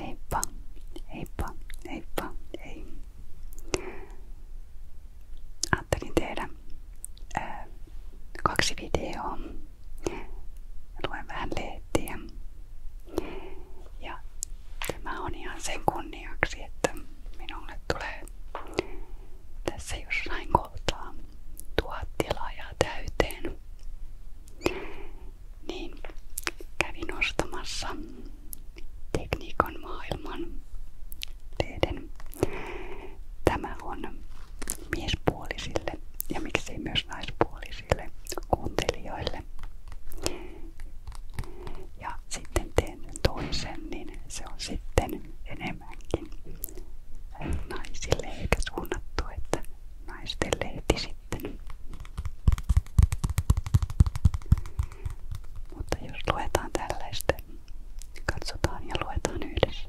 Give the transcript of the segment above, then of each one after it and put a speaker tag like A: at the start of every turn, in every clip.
A: Heippa, heippa, heippa, hei. Ajattelin tehdä ää, kaksi videoa. Luen vähän lehtiä. Ja tämä on ihan sen kunniaksi, että minulle tulee tässä jossain kohtaa tuhat tilaajaa täyteen niin kävin ostamassa tekniikan maailman lehden. Tämä on miespuolisille ja miksei myös naispuolisille kuuntelijoille. Ja sitten teen toisen, niin se on sitten enemmänkin naisille eikä suunnattu, että naisten lehti sitten. Mutta jos luetaan tällaista, niin katsotaan ja luetaan yhdessä.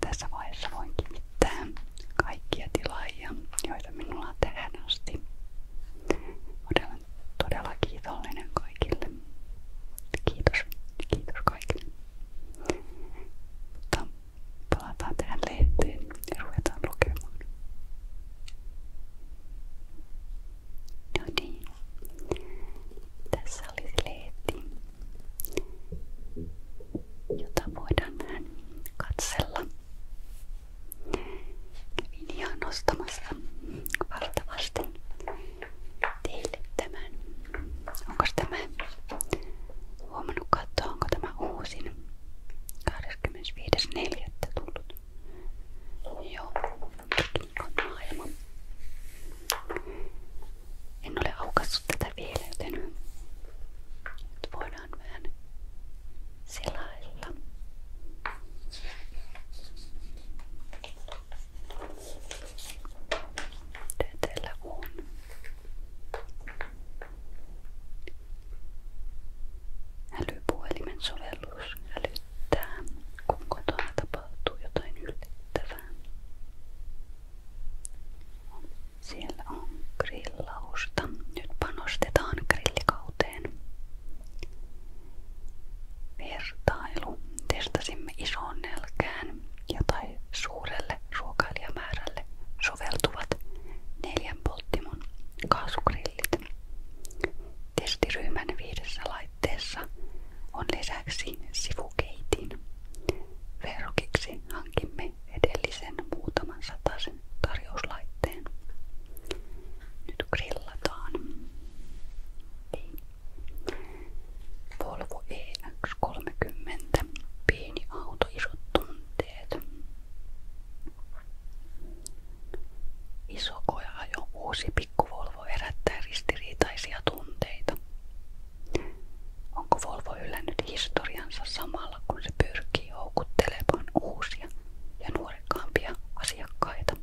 A: Tässä vaiheessa voin kiittää kaikkia tilaajia, joita minulla on tähän asti. Olen todella kiitollinen kaikille. Kiitos. Kiitos kaikille. Mutta palataan tähän lehteen ja ruvetaan lukemaan. No niin. Tässä olisi lehti, jota voidaan näin katsella. Kävin ihan nostamassa valtavasti teille tämän. Onko tämä huomannut katsoa, onko tämä uusin 25.4. tullut. Joo, tekniikan maailma. En ole aukassut tätä vielä, joten nyt voidaan vähän selailla. Mitä täällä on? Älypuhelimen sovellus älyttää, kun kotona tapahtuu jotain yllättävää. Siellä on grillausta. Nyt panostetaan grillikauteen. Vertailu. Testasimme ison nelkään ja tai suurelle ruokailijamäärälle soveltuvat neljän polttimon kaasugrillit. Testiryhmän viidessä laitteessa on lisäksi sivukeitin. Verrokiksi hankimme edellisen muutaman sataisen tarjouslaitteen. Nyt grillataan. Volvo EX3 30. Pieni auto, isot tunteet. Iso koja-ajo, uusi pikkuvolvo herättää ristiriitaisia tunteita. Onko Volvo hylännyt historiansa samalla, kun se pyrkii houkuttelemaan uusia ja nuorekkaampia asiakkaita?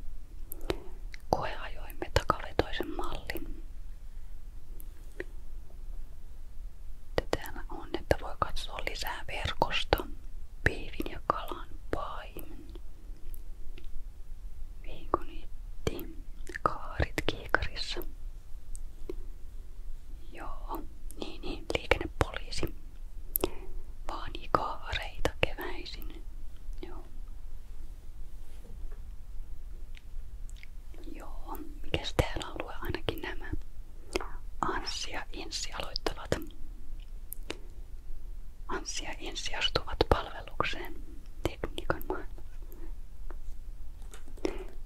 A: Koeajoimme takavetoisen mallin. Täällä on, että voi katsoa lisää verkosta. Piivin ja kalan paimen. Viikonitti. Kaarit kiikarissa. Joo, niin niin, liikennepoliisi. Vaani kaareita keväisin. Joo. Joo, mikäs täällä alue ainakin nämä? Anssi ja Insi aloittavat. Anssi ja Insi astuvat palvelukseen tekniikan maailmassa.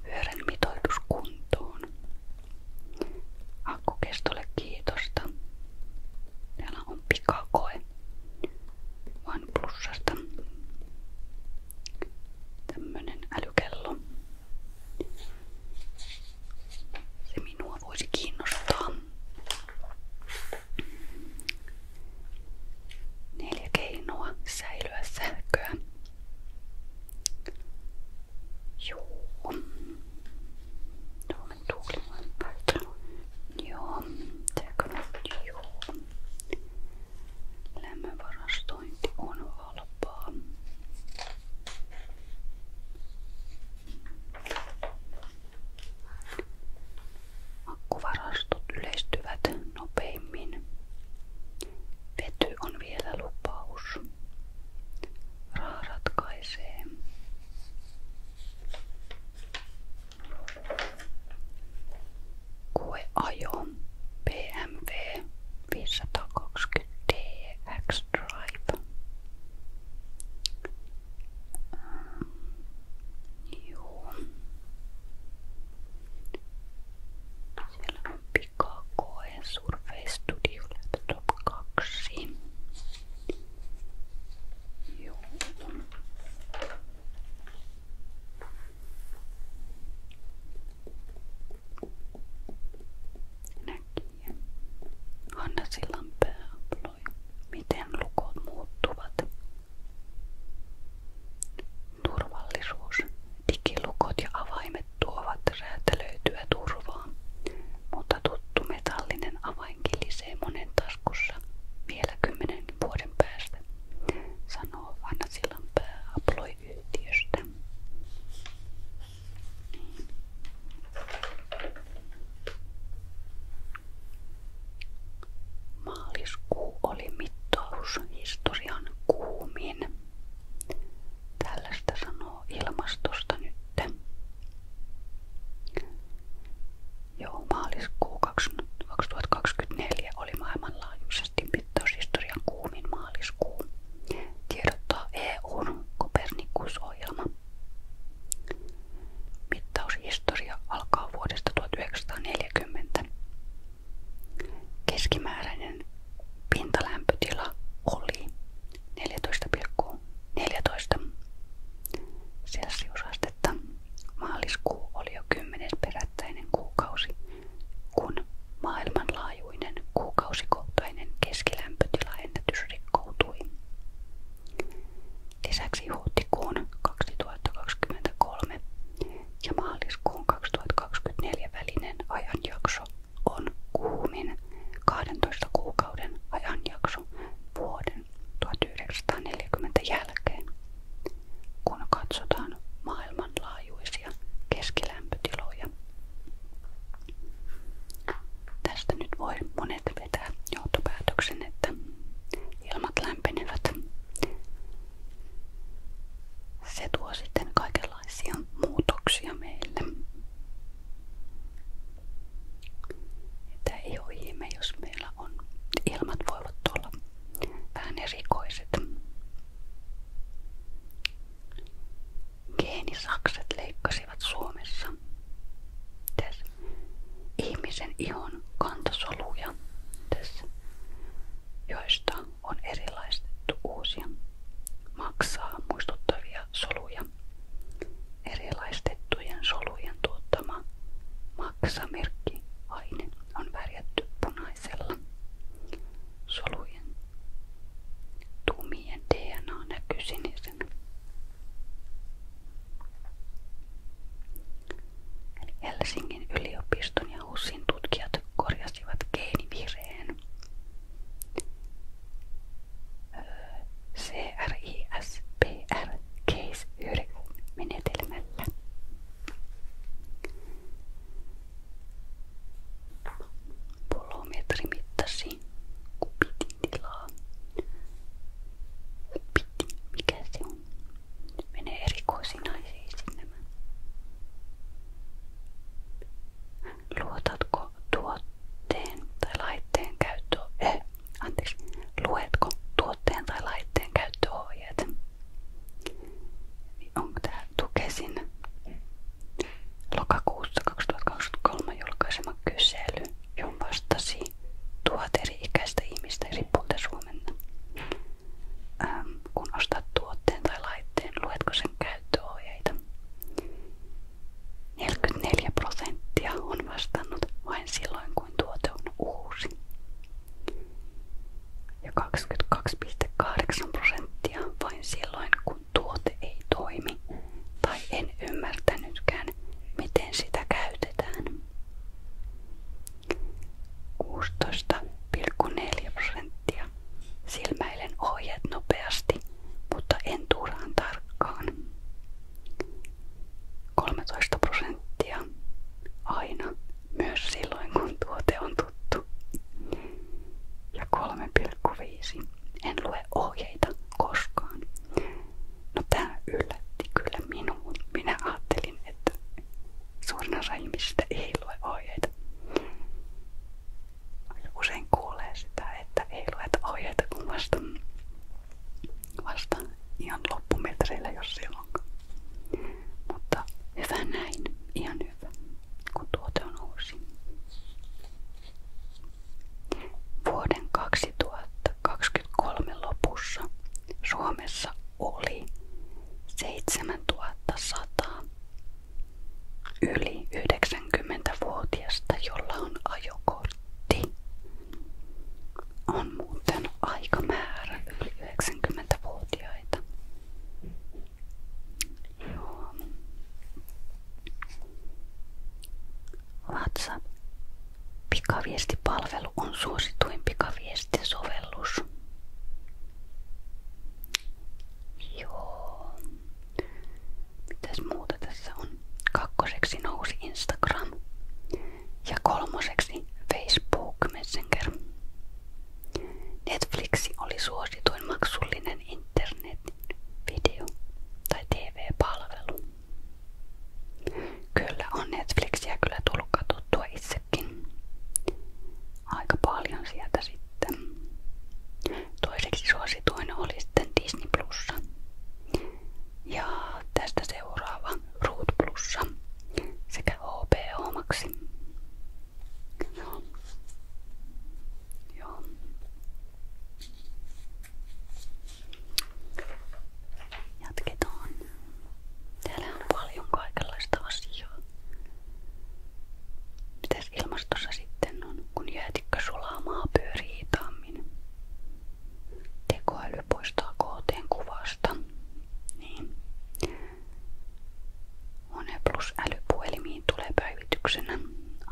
A: Pyörän mitoitus kuntoon. Akkukestolle kiitosta. Täällä on pikakoe. Vain plussasta. Tämmönen älykello. Se minua voisi kiinnostaa. 4 keinoa säilyä sähköä. Joo. Tuolla tuuli vaan Joo. Tääkö Joo. Lämmönvarastointi on halpaa. Akkuvarastot yleistyvät nopeimmin. Vety on vielä lupaus. Raha ratkaisee. Koeajo. BMW 520DX Drive. Mm, joo. Siellä on pikakoe Survey Studio Laptop 2. Joo. Näkijä. Hanna Sillan pää aploi. Miten lukot muuttuvat? Turvallisuus. Digilukot ja avaimet tuovat räätälöityä turvaa, mutta tuttu metallinen avainkin lisää monen taskussa vielä kymmenen vuoden päästä, sanoo Hanna Sillan pää aploi yhtiöstä. Niin. Maaliskuu oli mittaushistorian kuumin. Tällaista sanoo ilmastosta nyt. Joo, maaliskuu 2024 oli maailmanlaajuisesti mittaushistorian kuumin maaliskuu, tiedottaa EUn Kopernikus-ohjelma. Mittaushistoria alkaa vuodesta 1940. Keskimääräinen pintalämpötila oli 14,14 ,14 celsiusastetta. Maaliskuu oli jo kymmenes perättäinen kuukausi kun maailmanlaajuinen kuukausikohtainen keskilämpötilaennätys rikkoutui. Lisäksi huhtikuun ja maaliskuun 2024 välinen ajanjakso on kuumin 12 kuukauden ajanjakso vuoden 1940 jälkeen. Kun katsotaan maailman maailmanlaajuisia keskilämpötiloja. Tästä nyt voi monet vetää johtopäätöksen, että ilmat lämpenevät. Se tuo sitten kaikenlaisia muutoksia meille. Että ei ole ihme, jos meillä on ilmat voivat olla vähän erikoiset. Geenisakset leikkasivat Suomessa ihmisen ihon kantasoluja, Täs. on erilaistettu uusia maksaa muistuttavia soluja. Erilaistettujen solujen tuottama maksamerkki aine on värjätty punaisella. Solujen Tumien DNA näkyy sinisenä. Eli Helsingin yliopiston ja HUSin tutkijat korjasivat geenivireen. CRISPR case 9 menetelmällä. Polometri mittasi kubitin tilaa. Kubiti, mikä se on? Menee erikoisiin aiheisiin nämä. Luotatko tuotteen tai laitteen käyttöön? Eh, anteeksi. Luetko tuotteen tai laitteen käyttöohjeet? Niin onko tämä Tukesin lokakuussa 2023 julkaisema kysely, johon vastasi tuhat eri-ikäistä ihmistä eri puolilta Suomenna. Ähm, kun ostat tuotteen tai laitteen, luetko sen käyttöohjeita? 44 prosenttia on vastannut vain silloin, kun tuote on uusi ja 22,8 prosenttia vain silloin, kun tuote ei toimi tai en ymmärtänytkään, miten sitä käytetään. 16,4 prosenttia silmäilen ohjeet nopeasti, mutta en turhaan tarkkaan. 13 prosenttia aina, myös silloin kun tuote on tuttu juttu. Ja 3,5. En lue ohjeita koskaan. No tää yllätti kyllä minuun. Minä ajattelin, että suurin osa ihmisistä ei lue ohjeita. Usein kuulee sitä, että ei lueta ohjeita kun vasta, vasta ihan loppumetreillä, jos silloinkaan. Mutta hyvä näin, ihan hyvä, kun tuote on uusi. Vuoden 2023 lopussa Suomessa oli 7100 yli 90-vuotiasta, jolla on ajokortti. On muuten aika määrä yli 90-vuotiaita. Joo. WhatsApp. Pikaviestipalvelu on suosituin pikaviestisovellus. Joo. Mitäs muuta tässä on? Kakkoseksi nousi Instagram ja kolmoseksi Facebook Messenger. Netflixi oli suosituin maksullinen internetin video- tai TV-palvelu. Kyllä on Netflixiä kyllä tullut katsottua itsekin. Aika paljon sieltä sitten. Toiseksi suosituin oli sitten Disney Plussa. Ja tästä seuraava Root Plussa sekä HBO Maxi. No. Joo. Jatketaan. Täällä on paljon kaikenlaista asiaa. Mitäs ilmastossa sitten on, kun jäätikkö sulamaa pyörii hitaammin? Tekoäly poistaa kohteen kuvasta. Niin. One Plus älypuhelimiin tulee päivityksenä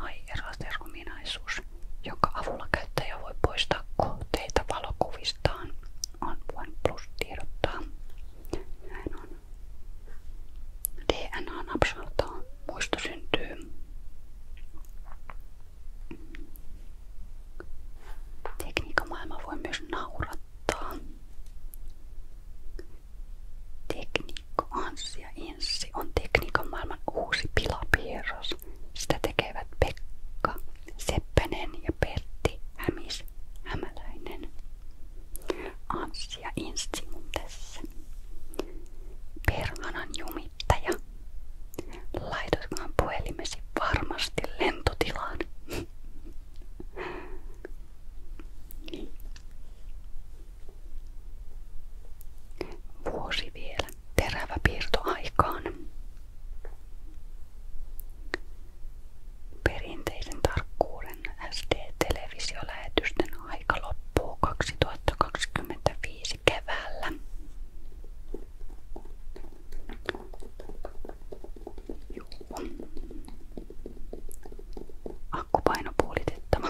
A: iRaster-ominaisuus, jonka avulla käyttäjä voi poistaa kohteita valokuvistaan. On OnePlus tiedottaa. Näin on. DNA napsautaa. Muisto syntyy. Tekniikan voi myös naurata kirjoittaa. Tekniikko Anssi ja Inssi on tekniikan maailman uusi pilapierros. Sitä tekevät Pekka, Seppänen ja Pertti Hämis Hämäläinen. Anssi ja Inssi mun tässä. Perhanan jumittaja. Laitatkohan puhelimesi varmasti lentotilaan. Vuosi vielä. Terävä piirto aikaan. Perinteisen tarkkuuden SD-televisiolähetysten aika loppuu 2025 keväällä. Juu akkupainopuolitettava.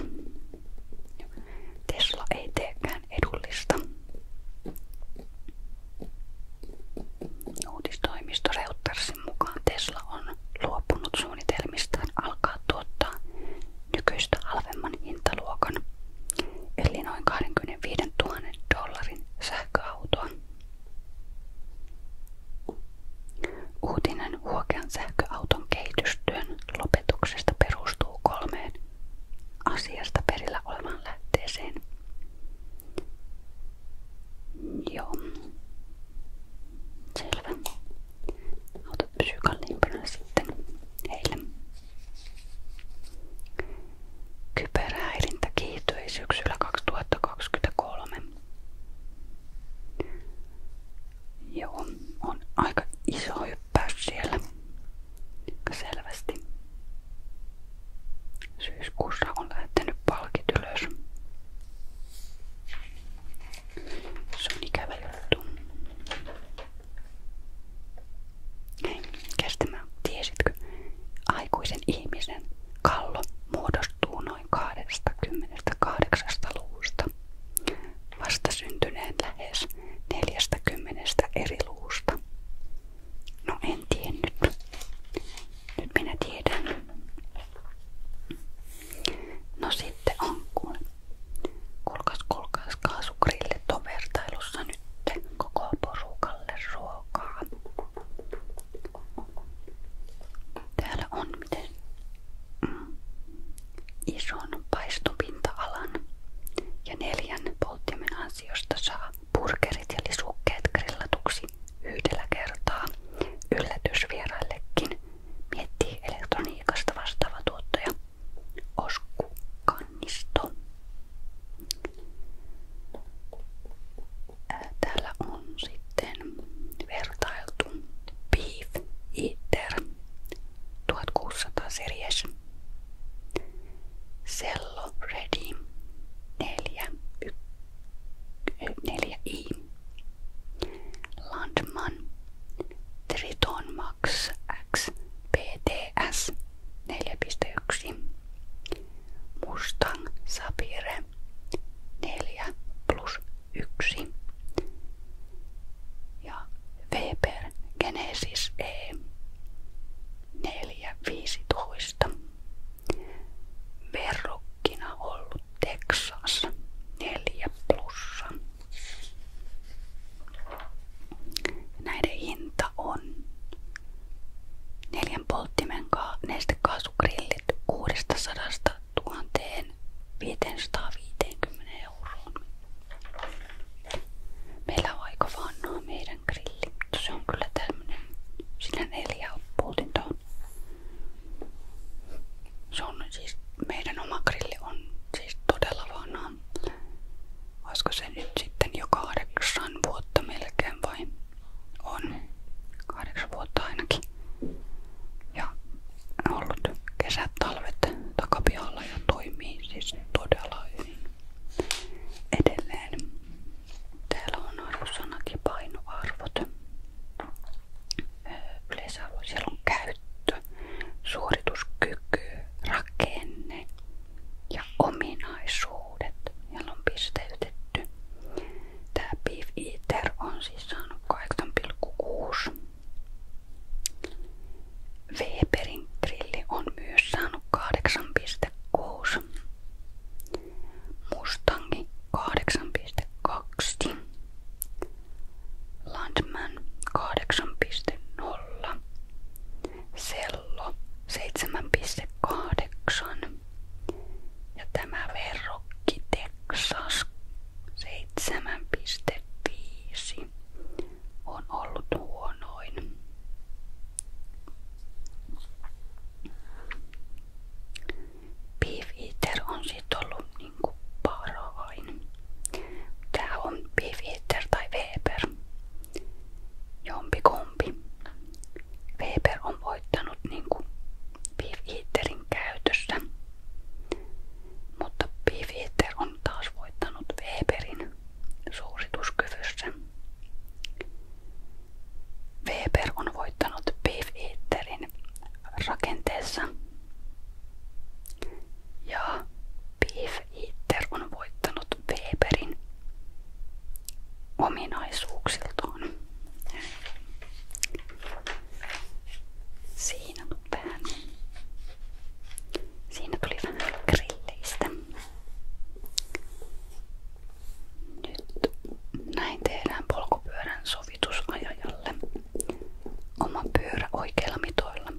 A: Tesla ei teekään edullista. Uutistoimisto Reutersin mukaan Tesla on luopunut suunnitelmistaan alkaa tuottaa nykyistä halvemman hintaluokan, eli noin 25 000 dollarin sähköautoa. Uutinen huokean sähköauton kehitystyön lopetuksesta perustuu kolmeen asiasta perillä olevan lähteeseen. Joo. Selvä. Autot pysyy kalliimpana sitten heille. Kyberhäirintä kiihtyi syksyllä 2023. Joo, on aika iso hyppäys siellä. Selvästi. Syyskuussa on lähtenyt palkit ylös. Se on ikävä juttu. Hei, kestämään. Tiesitkö? Aikuisen ihmisen kallo muodostuu noin noin 28 luvusta. Vasta syntyneen lähes 40 eri luvusta. No en tiennyt. Nyt minä tiedän. No sitten ankkuun. Kulkas, kulkas kaasukrille tovertailussa nyt koko porukalle ruokaa. Täällä on miten ison paistopinta ja neljän polttimen saa burgerit ja lisukkeet grillatuksi yhdellä kertaa yllätysvieraillekin, miettii elektroniikasta vastaava tuottaja Osku Kannisto. Täällä on sitten sitten vertailtu Beef Eater 1600 series, Cello Ready 4, 4i, eh, Landman Triton Max X PTS 4.1, Mustang Sapire 4 plus 1 ja Weber Genesis E 415 verrokkina ollut Texas 4 plussa. Näiden hinta on neljän polttimen neste kaasugrillit 600 000 550 euroon. Meillä on aika vanhaa meidän grilli, mutta se on kyllä tämmönen, sillä neljä poltinta on. Se on siis, meidän oma grilli on siis todella vanha. Olisiko se nyt sitten jo kahdeksan vuotta melkein vai on? Kahdeksan vuotta ainakin. Ja ollut kesät, talvet takapihalla ja toimii siis todella hyvin edelleen. Täällä on arvosanat ja painoarvot. Öö, Yleisarvo, siellä on käyttö, suorituskyky, rakenne ja ominaisuudet. Siellä on pisteytetty Tää Beef Eater on siis saanut 8,6. Weberin grilli on myös saanut 8,6. Mustangi 8,2. Landman 8,0. Sello 7,8. Ja tämä verrokki Texas 7,5 on ollut huonoin. Beef Eater on sitten ollut niinku parhain. Tää on Beef Eater tai Weber. Jompikumpi. Weber on voittanut niinku Beef Eaterin käytössä. Mutta Pifieter on taas voittanut Weberin suosituskyvyssä. Weber on voittanut Pifieterin rakenteessa. Ja Pifieter on voittanut Weberin ominaisuuksiltaan. Siinä vähän. Siinä tuli vähän grilleistä. Nyt näin tehdään polkupyörän sovitusajajalle. Oma pyörä oikeilla mitoilla.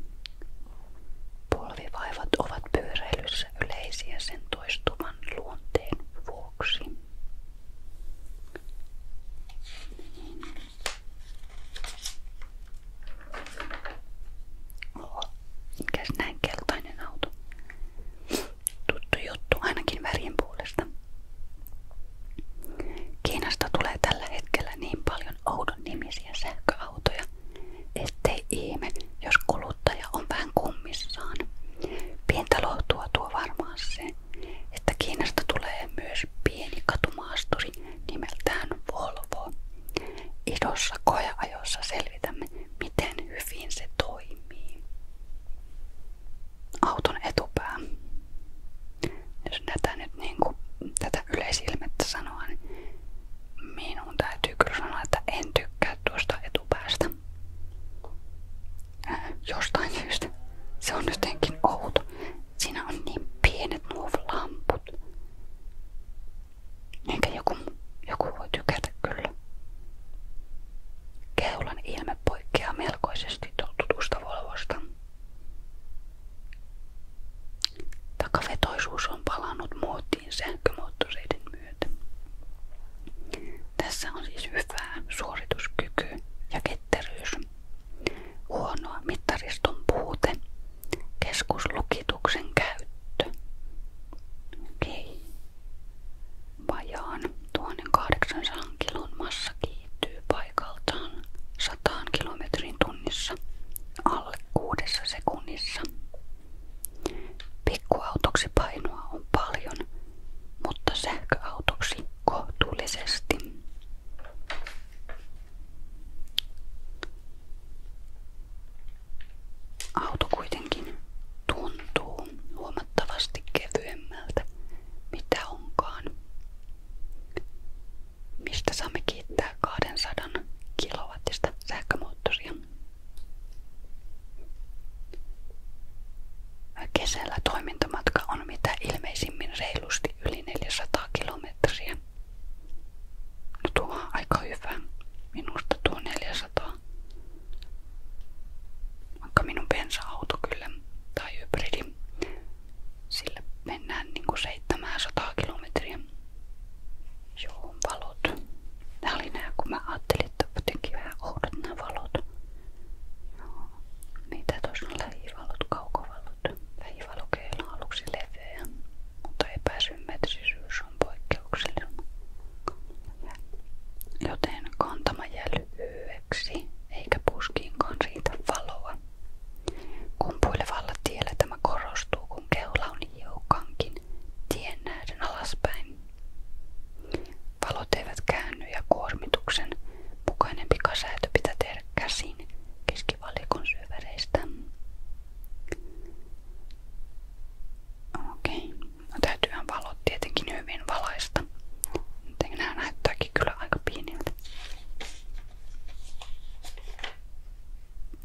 A: Polvivaivat ovat pyöräilyssä yleisiä sen toistuvan luonteen vuoksi. Oho, auto? Tuttu juttu ainakin värien puolesta. tulee tällä hetkellä niin paljon oudon nimisiä sähköautoja, ettei ihme, jos kuluttaja on vähän kummissaan. Pientä lohtua tuo varmaan että Kiinasta tulee myös pieni katumaasturi nimeltään Volvo. Idossa koeajossa selvitämme, miten hyvin se toimii. Auton etupää. Jos tätä nyt niin kuin, tätä yleisilmettä sanoa, niin minun täytyy kyllä sanoa, että en tykkää tuosta etupäästä jostain syystä. Se on jotenkin outo. Siinä on niin pienet nuo lamput. Enkä joku, joku voi tykätä kyllä. Keulan ilme poikkeaa melkoisesti tutusta Volvosta. Takavetoisuus on palannut muotiin sähkömoottoreiden myötä. Tässä on siis hyvää suorituskyky ja ketteryys huonoa mittariston puute, keskuslukituksen käyttö. Okei. Vajaan 1800 kilon massa kiihtyy paikaltaan 100 kilometrin tunnissa alle kuudessa sekunnissa. Pikkuautoksi painoa on paljon, mutta sähköautoksi kohtuullisesti. Auto kuitenkin tuntuu huomattavasti kevyemmältä, mitä onkaan. Mistä saamme kiittää 200 kilowattista sähkömoottoria? Kesällä toimintamatka on mitä ilmeisimmin reilusti yli 400 kilometriä. No tuo on aika hyvä. Minusta tuo 400. Vaikka minun bensa-auto kyllä, tai hybridi, sillä mennään niinku 700 kilometriä. Joo, valot. Nää oli nää, kun mä ajattelin, että jotenkin vähän oudot nämä valot. Joo. Mitä niin tuossa on lähivalot, kaukovalot? Lähivalokeilla on aluksi leveä, mutta epäsymmetrisyys on poikkeuksellinen. Joten kantama jää lyhyeksi, eikä puskiinkaan riitä valoa. Kumpuilevalla tiellä tämä korostuu, kun keula on hiukankin tien nähden alaspäin. Valot eivät käänny ja kuormituksen mukainen pikasäätö pitää tehdä käsin keskivalikon syövereistä. Okei, no täytyyhän valot tietenkin hyvin valaista. Joten nämä näyttääkin kyllä aika pieniltä.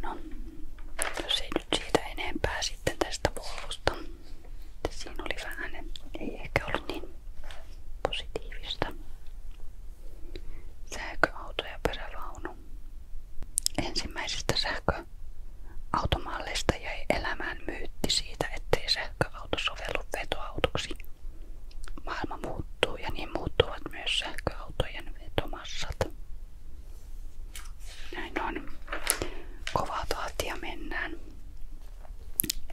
A: No, jos ei nyt enempää sitten tästä polvusta. Siinä oli vähän, ei ehkä ollut niin Positiivista. Sähköauto ja perävaunu. Ensimmäisistä sähköautomalleista jäi elämään myytti siitä, ettei sähköauto sovellu vetoautoksi. Maailma muuttuu ja niin muuttuvat myös sähköautojen vetomassat. Näin on. Kovaa tahtia mennään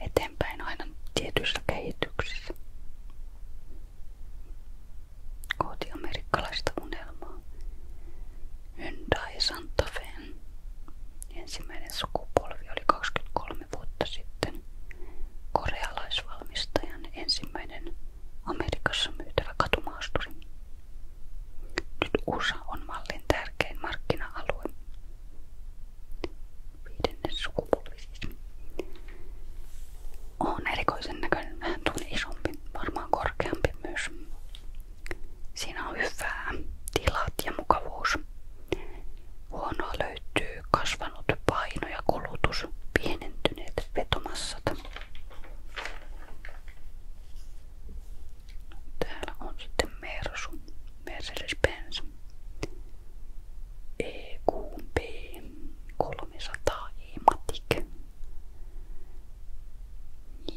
A: eteenpäin aina tietyissä kehityksissä. Kohti amerikkalaista unelmaa. Hyundai Santa Fen. Ensimmäinen sukupolvi oli 23 vuotta sitten korealaisvalmistajan ensimmäinen Amerikassa myytävä katumaasturi. Nyt USA on mallin tärkein markkina-alue Siis. On erikoisen näköinen, isompi, varmaan korkeampi myös. Siinä hyvää tilat ja mukavuus. Huonoa löytyy kasvanut paino ja kulutus, pienentyneet vetomassat. Täällä on sitten Mersu, Mercedes-Benz. EQP 300 Ematic.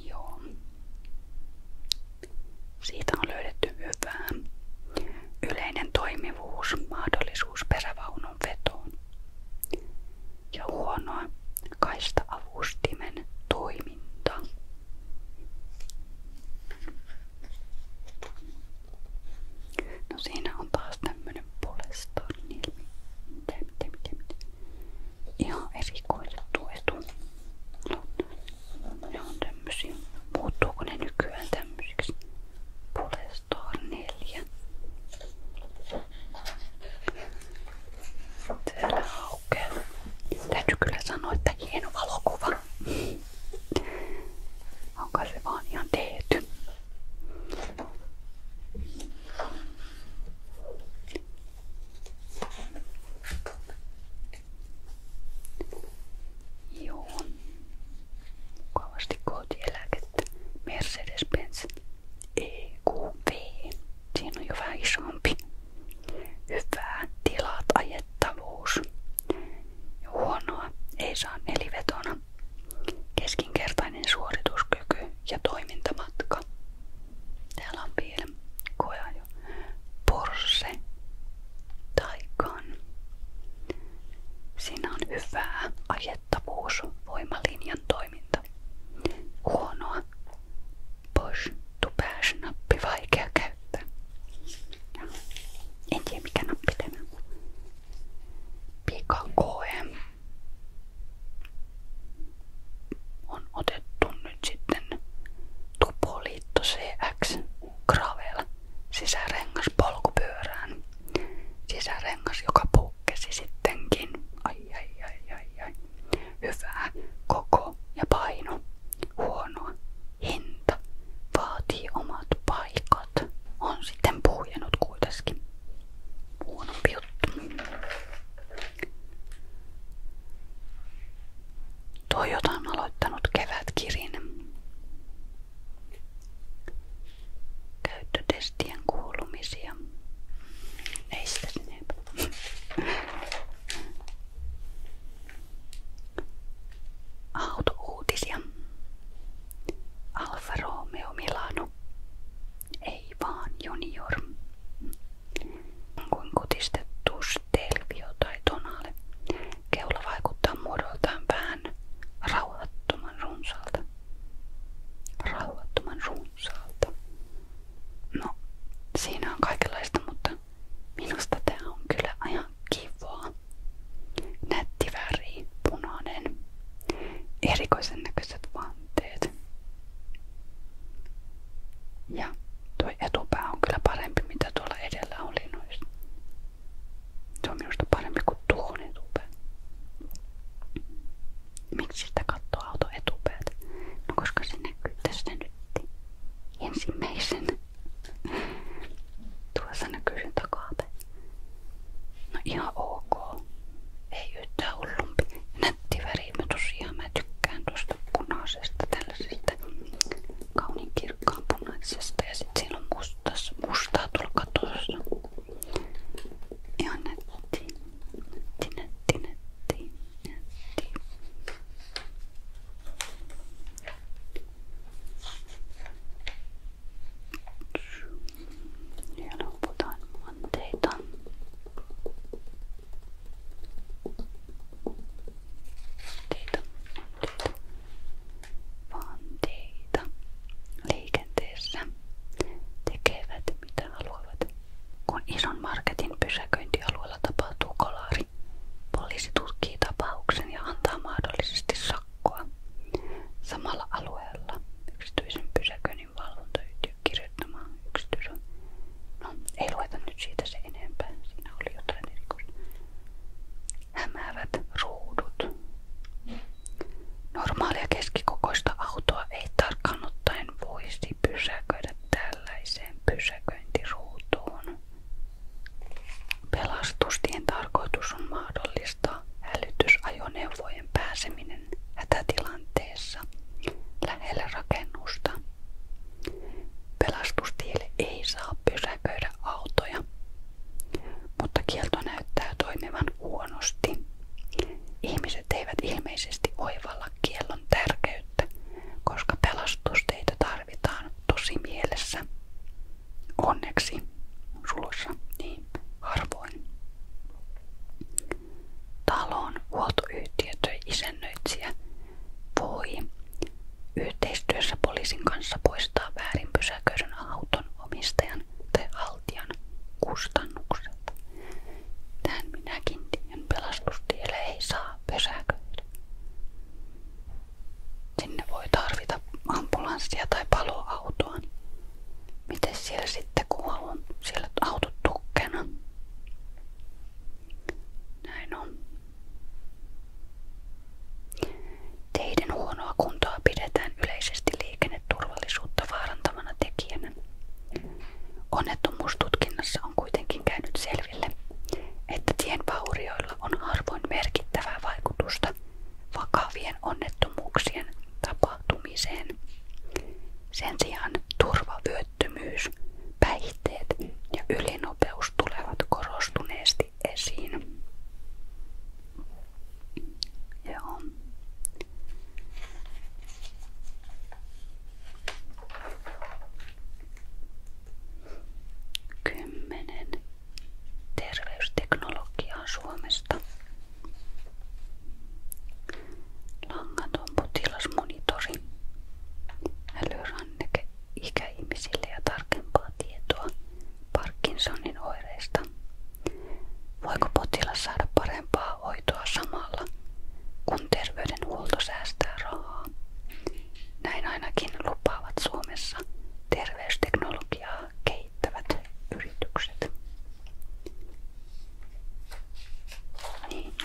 A: Joo. Siitä on löydetty hyvää. Yleinen toimivuus, mahdollisuus perävaunun vetoon. Ja huonoa kaista-avustimen toiminta. No siinä on taas tämmönen poleston ilmi. Mitä, mitä, mitä, mitä. Ihan erikoitettu etu. No, ne on tämmösiä. Muuttuuko ne nykyään tämmöisiksi? Polestor 4. Täällä aukeaa. Täytyy kyllä sanoa, että hieno valokuva. Onko se vaan ihan tehty? Joo. Mukavasti kotieläkettä. Mercedes-Benz EQV. Siinä on jo vähän isompi. Hyvää tilat ajaa. Kuljettavuus. Huonoa ei saa nelivetona. Keskinkertainen suorituskyky ja toimintamatka. Täällä on vielä koja jo. Porse taikaan. Siinä on hyvää ajettavuus, voimalinjan toiminta. Huonoa. Push to bash nappi vaikea käyttää käyttää. Ja. En tiedä mikä nappi tämä on. Pika KM on otettu nyt sitten Tupoliitto CX Gravel sisärengas polkupyörään. Sisärengas, joka pukkesi sittenkin. Ai ai ai ai ai. Hyvää koko ja paino. Huonoa hinta vaatii omat paikat. On sitten puhjennut kuitenkin. Huonompi juttu. Toyota on aloittanut kevätkirin. Käyttötestien kuulumisia. Ei sitä sinne. Autouutisia. Alfa Romeo Milano. Ei junior. Kuin kutistettu stelvio tai tonale. Keula vaikuttaa vähän rauhattoman runsaalta. Rauhattoman runsaalta. No, siinä on kaikenlaista, mutta Minusta tää on kyllä ihan kivaa. Nätti väri, punainen. Erikoisen näköiset vanteet. Ja tuo etupää on parempi mitä tuolla edellä oli noissa. minusta parempi kuin tuohon etupää. Miksi sitä katsoo auto no, koska se näkyy nyt ensimmäisen Tuossa näkyy sen takapäin. No ihan ok. Ei yhtään hullumpi. Nätti värimme tosiaan. Mä tykkään tuosta punaisesta, tällaisesta kauniin kirkkaan punaisesta. Ja sit siinä on mustas, mustaa tuolla katossa. Ihan nätti. Nätti, nätti, nätti, nätti. Ja luovutaan manteita. Manteita, manteita, manteita liikenteessä tekevät mitä haluavat. Kun ison marketin pysäköintialueella tapahtuu kolari, Poliisi tutkii tapauksen ja antaa mahdollisesti sakkoa. Samalla alueella yksityisen pysäköinnin valvontayhtiö kirjoittamaan yksityisen. No, ei lueta nyt siitä se enempää. Siinä oli jotain erikoista. Hämäävät ruudut. Normaalia keskikokoista autoa ei tarkkaan ottaen voisi pysäköidä tällaiseen pysäköintiruutuun. Pelastustien tarkoitus on mahdollistaa hälytysajoneuvojen pääseminen hätätilanteessa lähelle rakennusta. Pelastustielle ei saa pysäköidä autoja, mutta kielto näyttää toimivan huonosti. Ihmiset eivät ilmeisesti oivalla kiellon tärkeyttä, koska pelastusteita tarvitaan tarvitaan tosi mielessä. Onneksi suluissa niin harvoin. Talon huoltoyhtiö tai isännöitsijä voi yhteistyössä poliisin kanssa poistaa väärin pysäköidyn auton omistajan tai haltijan kustannukset. Tämän minäkin tien pelastustielle ei saa pysäköidä. Sinne voi tarvita ambulanssia tai paloautoa. Miten siellä sitten, kun on siellä autot tukkena? Näin on. Teiden huonoa kuntoa pidetään yleisesti liikenneturvallisuutta vaarantavana tekijänä. Onnettomuustutkinnassa on kuitenkin käynyt selville, että tien joilla on harvoin merkittävää vaikutusta vakavien onnettomuuksien tapahtumiseen. Sen sijaan turvavyöttömyys, päihteet ja ylinopeus tulevat korostuneesti esiin. Joo. Kymmenen terveysteknologiaa Suomesta. Langaton potilasmonitori, älyranneke ikäihmisille ja tarkempaa tietoa Parkinsonin oireista. Voiko potilas saada parempaa hoitoa samalla, kun terveydenhuolto säästää rahaa? Näin ainakin lupaavat Suomessa terveysteknologiaa kehittävät yritykset. Niin.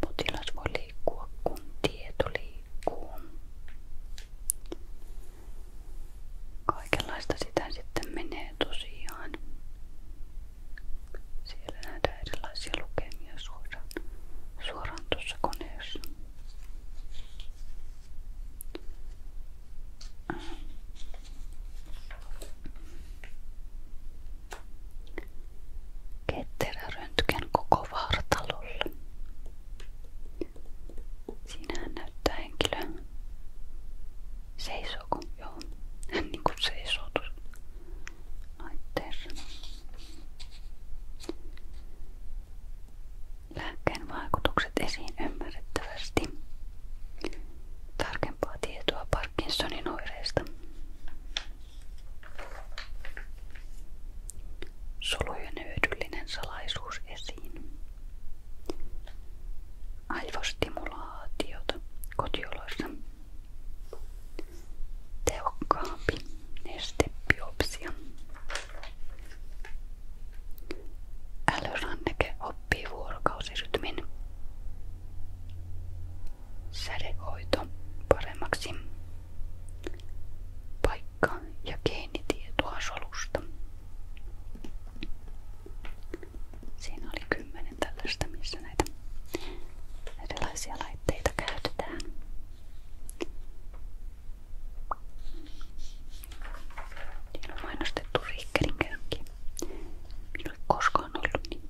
A: Potilas voi liikkua, kun Kaikenlaista sitä sitten menee Siellä näitä erilaisia lukemia suoraan suoraan tuossa koneessa. Ketterä röntgen koko vartalolle. Siinähän näyttää henkilö. Seisooko? Joo. Hän niinku seisoo tuossa laitteessa. esiin ymmärrettävästi. Tarkempaa tietoa Parkinsonin oireista. Solujen hyödyllinen salaisuus esiin. Aivostimulaatiota kotioloissa tehokkaampi nestebiopsia. Älyranneke oppii vuorokausirytmin. Sädehoito paremmaksi. Paikka- ja geenitietoa solusta. Siinä oli kymmenen missä näitä erilaisia laitteita käytetään. Siinä on mainostettu Rikkerin käynki. Minulla ei koskaan ollut niin.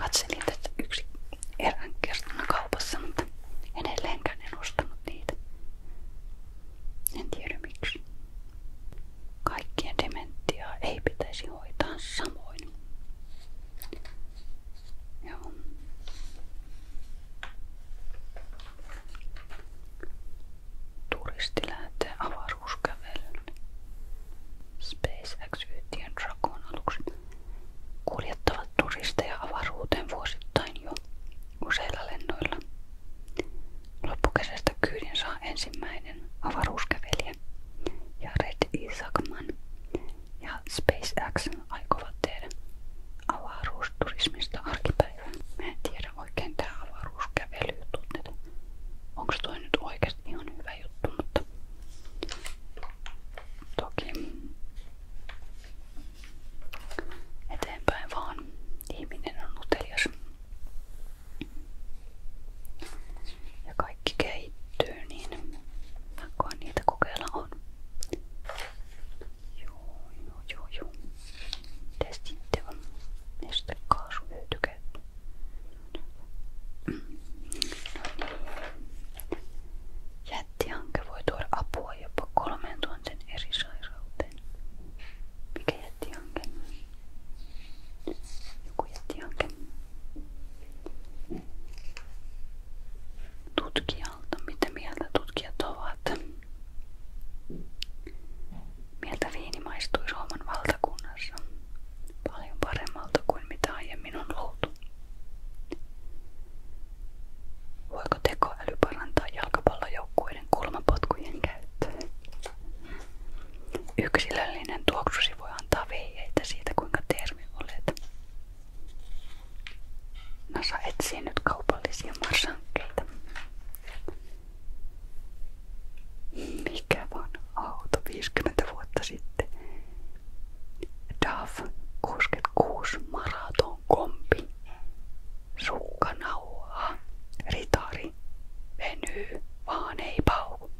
A: Katselin tätä yksi erään kertana kaupassa, mutta en edelleenkään en ostanut niitä. En tiedä miksi. Kaikkien dementiaa ei pitäisi hoitaa samoin. Ja. Turisti lähtee avaruuskävelyyn. SpaceX-yhtiön Dragon alukset kuljettavat turisteja avaruuteen vuosittain jo useilla lennoilla. Loppukesästä kyydin saa ensimmäinen avaruuskävelijä Jared Isaacman, ja SpaceX aikovat tehdä avaruusturismista arkipäivää. Mä en tiedä oikein tää avaruuskävely tunneta. Onko toi nyt oikeasti ihan hyvä juttu, mutta toki eteenpäin vaan ihminen on utelias. Ja kaikki keittyy, niin niitä kokeilla Joo, joo, joo, joo. Mitäs sitten on? Nestekaasuhyötykäyttö. Mm. No niin. eri sairauteen. Mikä jättihanke? Joku jättihanke tutkijalta, mitä mieltä tutkijat ovat. Mieltä viini maistui Suomen valtakunnassa paljon paremmalta kuin mitä aiemmin on luultu. Voiko tekoäly parantaa jalkapallojoukkueiden kulmapotkujen käyttöä? Yksilöllinen tuoksusi voi antaa veijeitä siitä, kuinka termi olet. NASA no, etsii nyt kaupallisia marsankkeita. Mikä on auto 50 vuotta sitten? DAF 66 maraton kompi. Sukkanauhaa. Ritari. Venyy. Vaan ei pauku.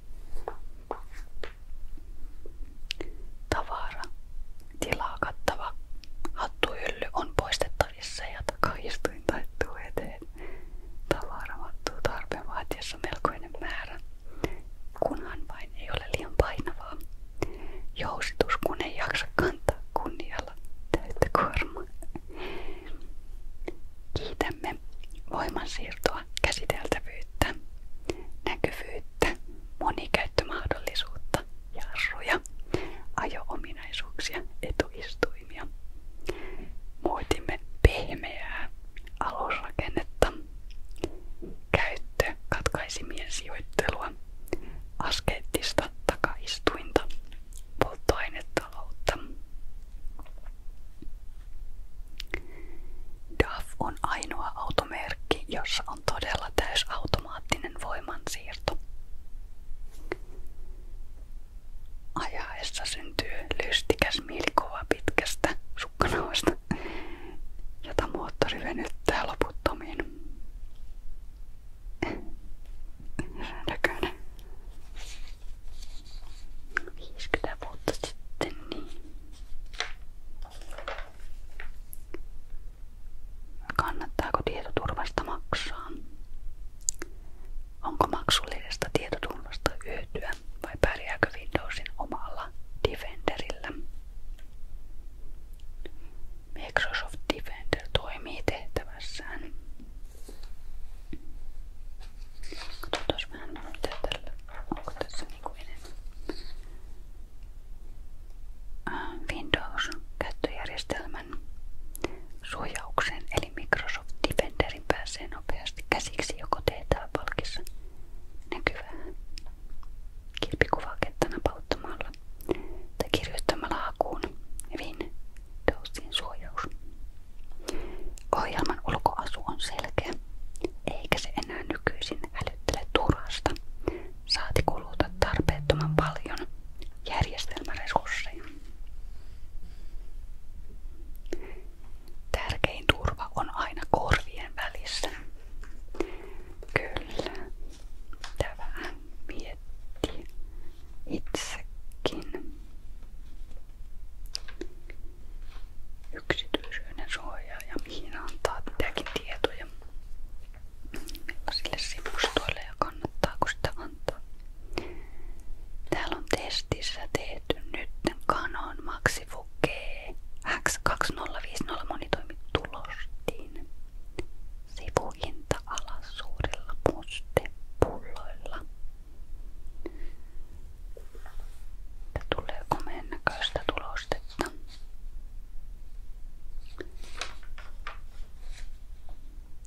A: Tavara, tilaa kattava hattuhylly on poistettavissa ja takaistuin taittuu eteen. Tavara tarpeen vaatiessa melkoinen määrä, kunhan vain ei ole liian painavaa. Jousitus kun ei jaksa kantaa kunnialla täyttä kuormaa. Kiitämme voimansiirtoa, käsiteltävyyttä, näkyvyyttä kestävyyttä, monikäyttömahdollisuutta, jarruja, ajo-ominaisuuksia, etuistuimia. Muutimme pehmeää alusrakennetta, käyttö katkaisimien sijoittelua, askeettista takaistuinta, polttoainetaloutta. DAF on ainoa automerkki, jossa on todella täysautomaattinen voimansiirto. Ajaessa syntyy lystikäs mielikuva pitkästä sukkanauhasta, jota moottori venyttää loputtomiin. Näköinen. 50 vuotta niin Kannattaako tietoturvasta maksaa? Onko maksullisesta tietoturvasta hyötyä vai pärjääkö Windowsin omalla Defenderillä? Microsoft Defender toimii tehtävässään. Katsotaan vähän mitä tällä. Onko tässä Niinku äh, Windows-käyttöjärjestelmän suojaukseen eli Microsoft Defenderin pääsee nopeasti käsiksi joko TTA-palkissa näkyvää kirpikuvakettana pauttamalla tai kirjoittamalla hakuun Windowsin suojaus. Ohjelman ulkoasu on selkeä eikä se enää nykyisin älyttele turhasta, saati kuluta tarpeettoman paljon järjestelmäresursseja. Tärkein turva on aina korvien välissä. Kyllä, tämä vähän miettii itsekin yksityisyyden suojaa ja mihin antaa mitäkin tietoja sille sivustoille ja kannattaako sitä antaa. Täällä on testissä tehty nyt Canon Maxifu X2050 monitoimittu lostiin. Sivuhinta alas suurilla pustepulloilla että tulee komeen näköistä tulostetta.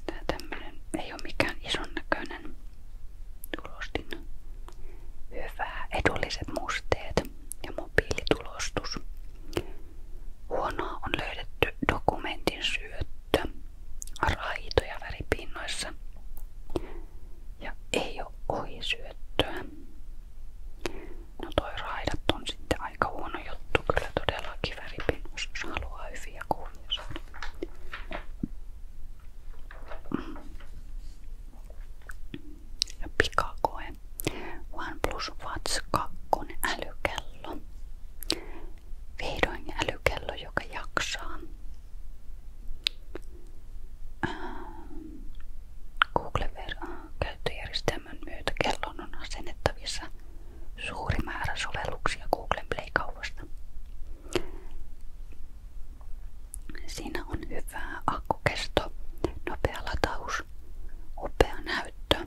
A: Tää tämmönen ei ole mikään ison näköinen tulostin. Hyvä, edulliset musteet ja mobiilitulostus. Huonoa on löydetty dokumentin syöttö, raitoja välipinnoissa ja ei ole ohisyöttöä. No toi raidat on sitten aika huono juttu kyllä todellakin väripinnossa, jos haluaa hyviä kuvia saada. Ja pikakoe. OnePlus Watch 2 älykello. Vihdoin älykello, joka jaksaa. Google käyttöjärjestelmän myötä kellon on asennettavissa suuri määrä sovelluksia Googlen Play-kaupasta. Siinä on hyvä akkukesto, nopea lataus, upea näyttö,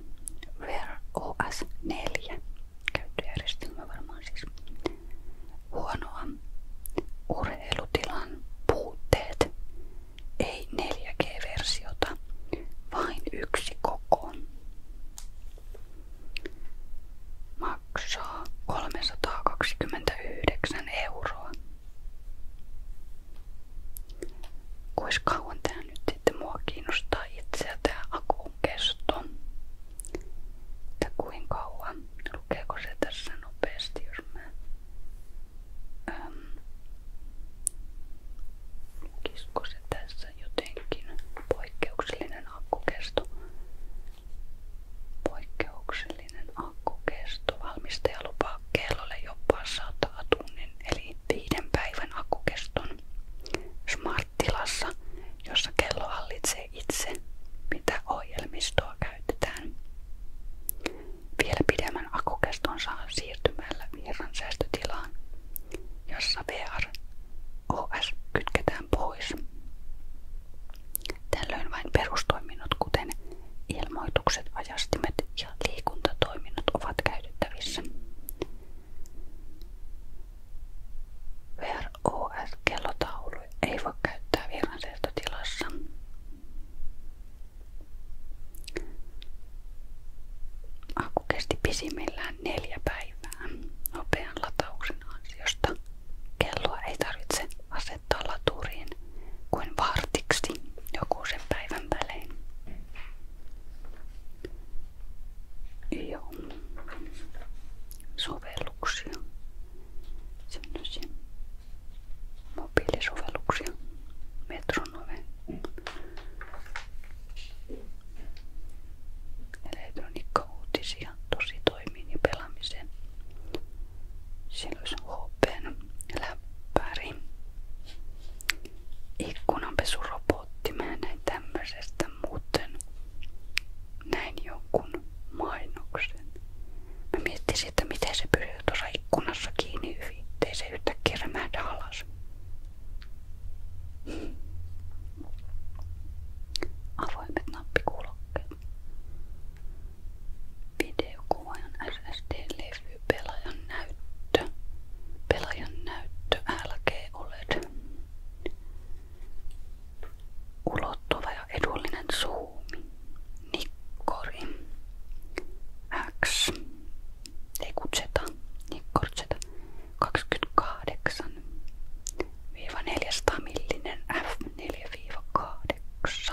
A: Wear OS siis huonoa urheilutilan puutteet, ei 4G-versiota, vain yksi koko. Maksaa 329 euroa. Kuinka kauan tää nyt sitten mua kiinnostaa itseä tää akun kesto? Että kuinka kauan? Lukeeko se tässä nopeasti, jos mä Ähm, kisko se tässä jotenkin? Poikkeuksellinen akkukesto. Poikkeuksellinen akkukesto. Valmistaja lupaa kellolle jopa 100 tunnin eli viiden päivän akkukeston. Smart-tilassa, jossa kello hallitsee itse, mitä ohjelmistoa käytetään vielä pidemmän akkukestonsa siirtymällä virran säästötilaan, jossa VROS kytketään pois. Tällöin vain perustoiminnot, kuten ilmoitukset, ajastimet ja liikuntatoiminnot ovat käytettävissä. VROS-kellotaulu ei voi käyttää virran säästötilassa. Akku kesti pisimmillään neljä päivää nopean latauksen ansiosta. Kelloa ei tarvitse asettaa laturiin kuin vartiksi joku sen päivän välein. Joo. Sovelluksia. Sellaisia mobiilisovelluksia, metronome, elektroniikkauutisia, tosi toimiin ja pelaamiseen. Siellä olisi HPn läppäri, ikkunanpesurobotti. Mä näin tämmöisestä muuten näin jonkun mainoksen. Mä miettisin, että miten se pysyy tuossa ikkunassa kiinni hyvin, se yhtäkkiä rämähdä alas. Avoimet nappikuulokkeet. Videokuvaajan SSD-levy pelaajan näyttö. Pelaajan näyttö LG OLED. Ulottuva ja edullinen suu kuumi. Nikkori. X. Ei kun Z. Nikkori Z. 28. Viiva millinen F4-8.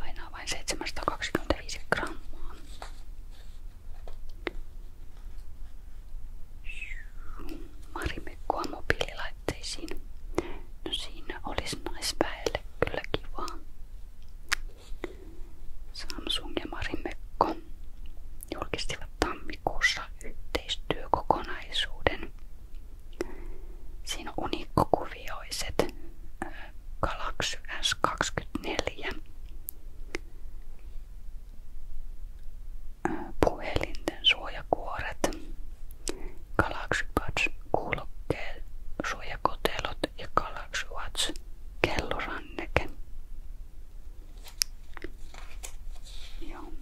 A: Painaa vain 725 grammaa. Marimekkoa mobiililla vaatteisiin. No siinä olisi naisväelle kyllä kivaa. Samsung ja Mari Mökko julkistivat yhteistyökokonaisuuden. Siinä on unikkokuvioiset Galaxy S24 puhelinten suojakuoret Galaxy kuulokkeet, suojakotelot ja Galaxy Watch kelloranneke. Joo.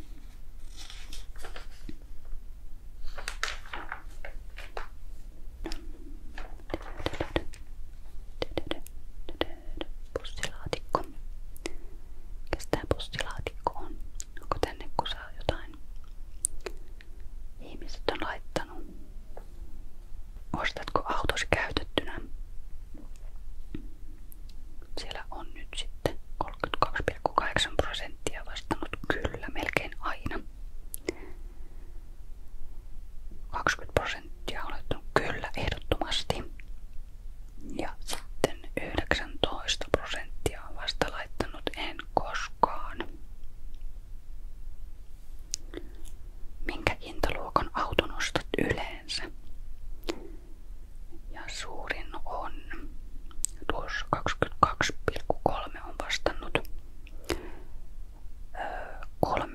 A: Pussilaatikko. Mikäs tää pussilaatikko on? Onko tänne kusaa jotain? Ihmiset on laittanut. Ostatko autosi käytettynä? Siellä on nyt sitten 32,8 prosenttia vastannut kyllä melkein aina. 20 prosenttia on laittanut kyllä ehdottomasti. Ja sitten 19 prosenttia on vasta laittanut ennen koskaan. Minkä hintaluokan auton ostat yleensä? Ja suurin on tuossa 22,3 on vastannut 30-40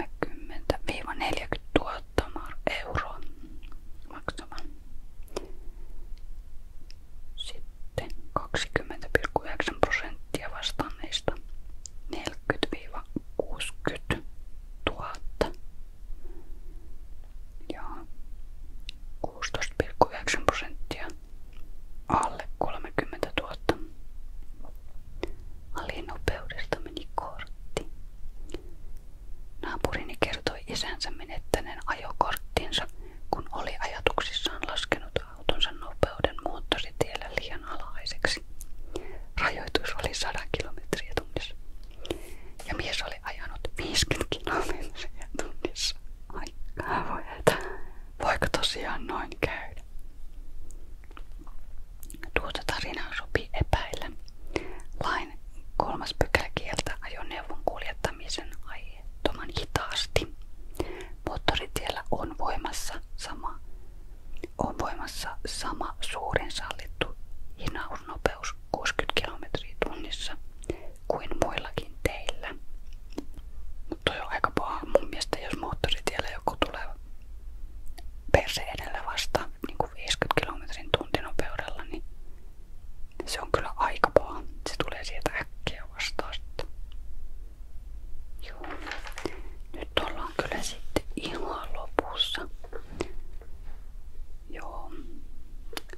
A: 000 euroa maksamaan. Sitten 20,9 prosenttia vastanneista 40-60 000 ja 16,9 prosenttia alle 30 000. Alinopeudesta meni kortti. Naapurini kertoi isänsä menettäneen ajokorttinsa kun oli ajatuksissaan laskenut autonsa nopeuden muuttositiellä liian alhaiseksi. Rajoitus oli 100 kilometriä tunnissa. Ja mies oli ajanut 50 kilometriä tunnissa. Ai voi että. Voiko tosiaan noin käydä? Tuota tarinaa sopii epäillä. Lain kolmas pykälä kieltää ajoneuvon kuljettamisen mahdottoman hitaasti. Moottoritiellä on voimassa sama, on voimassa sama suurin sallittu hinausnopeus 60 km tunnissa kuin muillakin teillä. Mutta on aika paha mun mielestä, jos moottoritiellä joku tulee perse edellä vastaan niin kuin 50 km tuntinopeudella, niin se on kyllä aika paha. tulee sieltä äkkiä vastaan sitten. Nyt ollaan kyllä sitten ihan lopussa. Joo.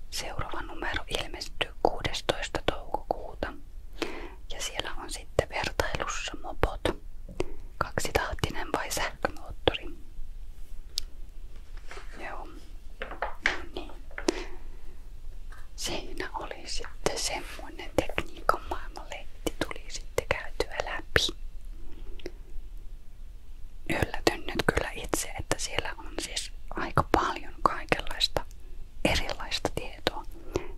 A: Seuraava numero ilmestyy 16. toukokuuta. Ja siellä on sitten vertailussa mopot. Kaksitahtinen vai sähkömoottori. Joo niin. Siinä oli sitten semmonen tekniikan maailmanlehti tuli sitten käytyä läpi. Yllätyn nyt kyllä itse, että siellä on siis aika paljon kaikenlaista erilaista tietoa,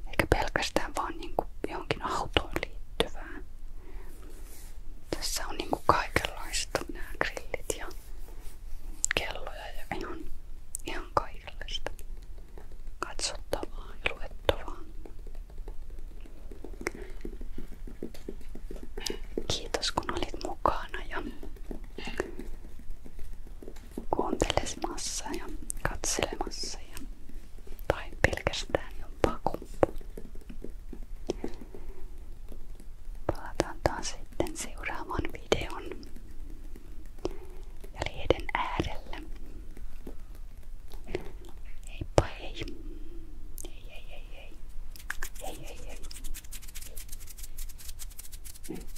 A: eikä pelkästään vaan niinku johonkin autoon Tässä on niinku kaikenlaista nämä grillit ja kelloja ja ihan, ihan kaikenlaista katsottavaa ja luettavaa. Kiitos kun olit mukana ja kuuntelemassa ja katselemassa ja, tai pelkästään jompaa kumpua. Palataan taas sitten seuraavan videon ja lehden äärellä. Heippa hei. Hei hei hei hei. Hei hei hei.